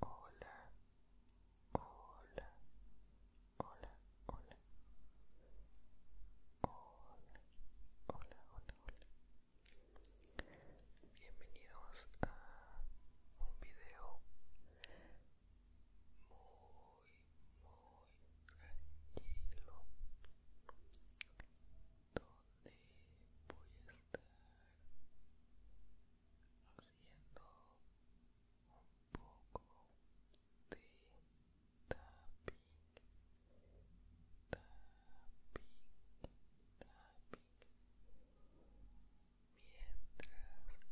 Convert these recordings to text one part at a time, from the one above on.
Hola, hola, hola, hola. Hola, hola, hola, hola. Bienvenidos a un video muy, muy tranquilo donde voy a estar haciendo un poco de tapping tapping tapping mientras hago sound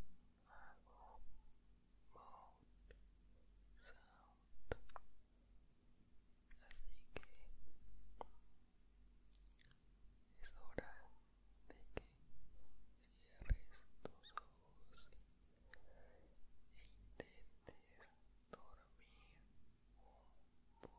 Así que es hora de que cierres tus ojos e intentes dormir un poco.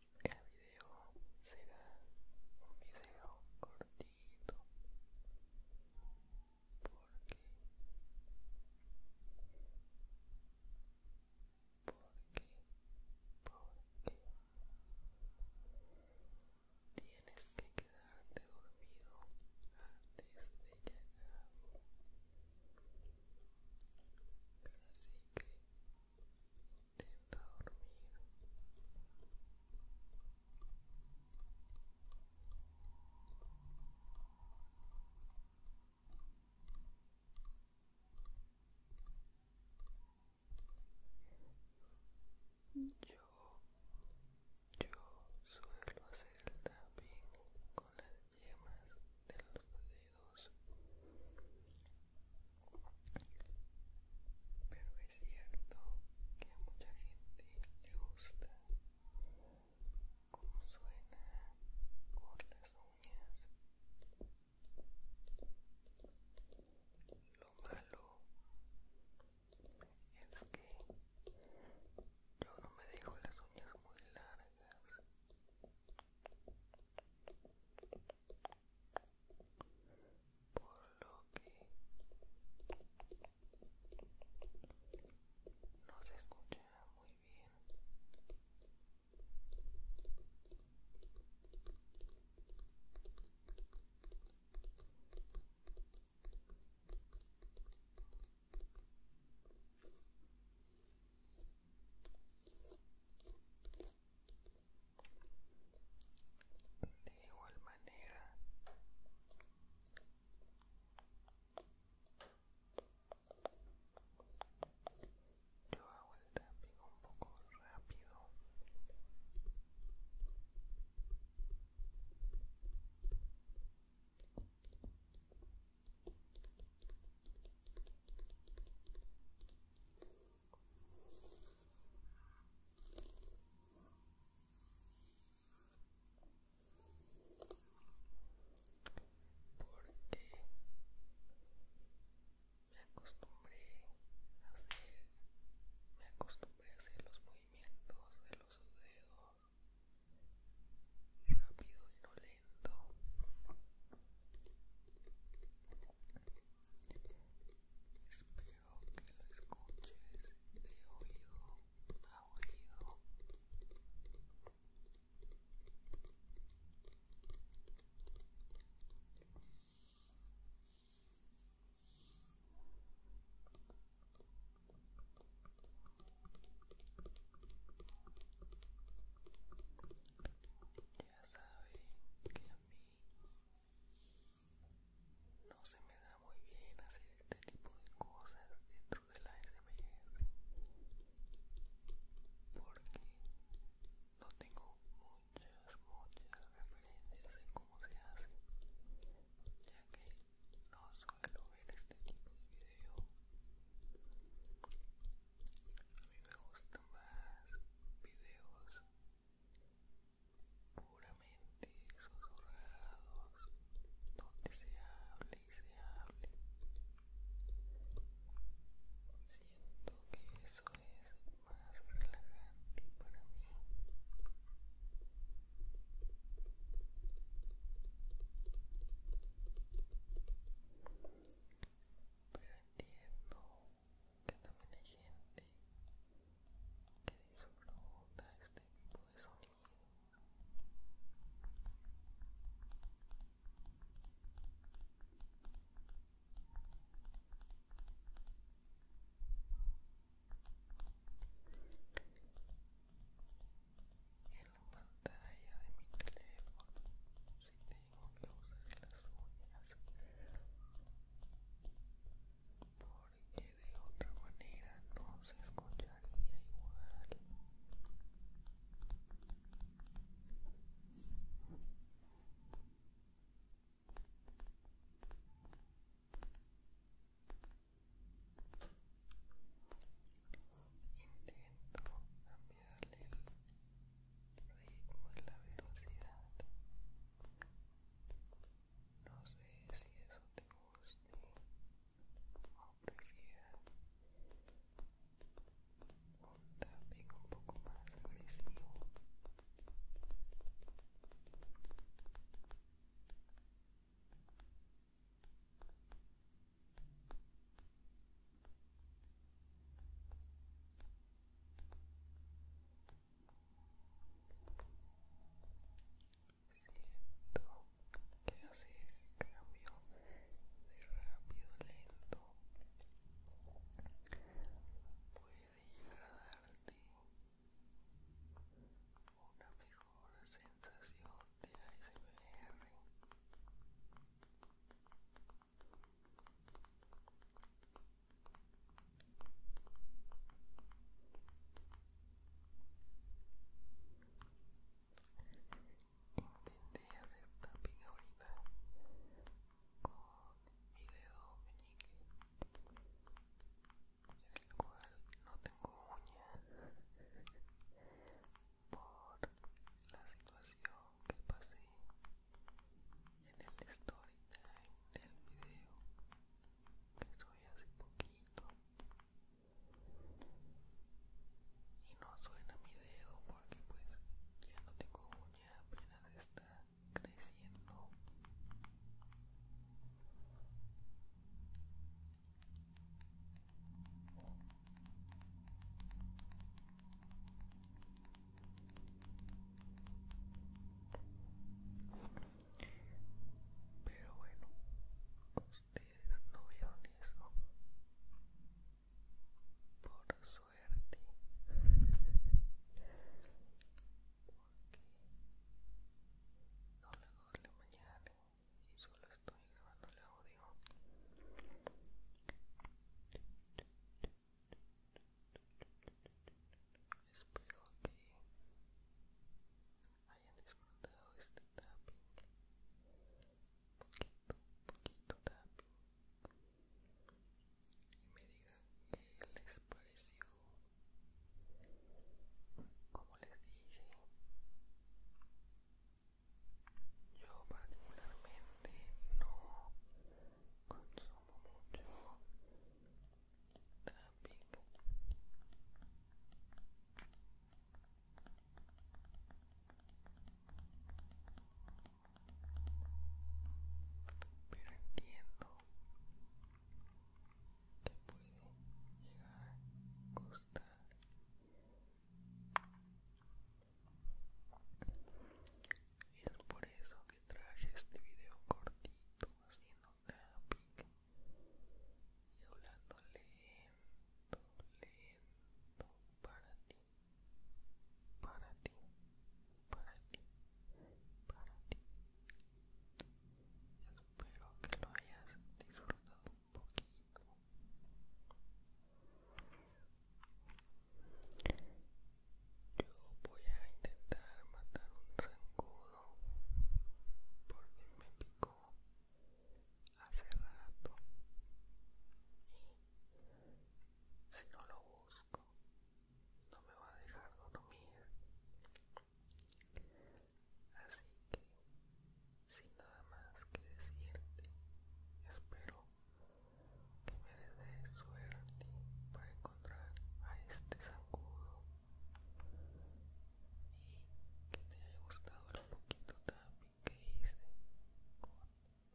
El video será un video cortito porque porque porque tienes que quedarte dormido antes de que así que dormir. Yo, yo suelo hacer también con las yemas de los dedos pero es cierto que mucha gente le gusta cómo suena con las uñas. Lo malo es que yo no me dejo las uñas muy largas por lo que no se escucha muy bien de igual manera yo hago el tapping un poco rápido porque me acostumbré a hacer me acostumbré a hacer los movimientos de los dedos rápido y no lento Espero que lo escuches de oído a oído. ya saben que a mí no se me da muy bien hacer este tipo de cosas dentro de la SMR porque no tengo muchas, muchas referencias de cómo se hace ya que no suelo ver este tipo de video a mí me gustan más videos puramente susurrados donde se hable y se hable siento que eso es más relajante para mí pero entiendo que también hay gente que disfruta este tipo de sonido. En la pantalla de mi teléfono, porque de otra manera no se escucharía igual. Intento cambiarle ritmo es la velocidad. No sé si eso te gusta o prefieras un tapping un poco más agresivo que hacer el cambio de rápido lento puede llegar darte una mejor sensación de ASMR Intenté hacer tapping ahorita con mi dedo meñique, del cual no tengo uña, por la situación que pasé en el story time del video que subí hace poquito y no suena mi dedo porque pues ya no tengo uña apenas está creciendo pero bueno, ustedes no vieron eso. Por suerte. Porque No las 2 de la mañana y solo estoy grabando el audio. Espero que hayan disfrutado este tapping. Poquito, poquito tapping. Y me digan que les pareció. Como les dije, yo particularmente no consumo mucho tapping. Pero entiendo que puede llegar a costar es por eso que traje este video cortito, haciendo tapping y hablando lento, lento para ti, para ti, para ti, para ti. Espero que lo hayas disfrutado un poquito yo voy a intentar matar un zancudo porque me picó hace rato y si no lo busco no me va a dejar dormir así que sin nada más que decirte espero que me dé suerte para encontrar a este zancudo y que te haya gustado el poquito tapi que hice con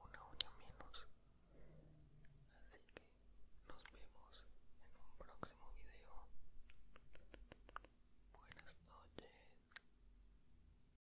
una uña menos así que nos vemos en un próximo video buenas noches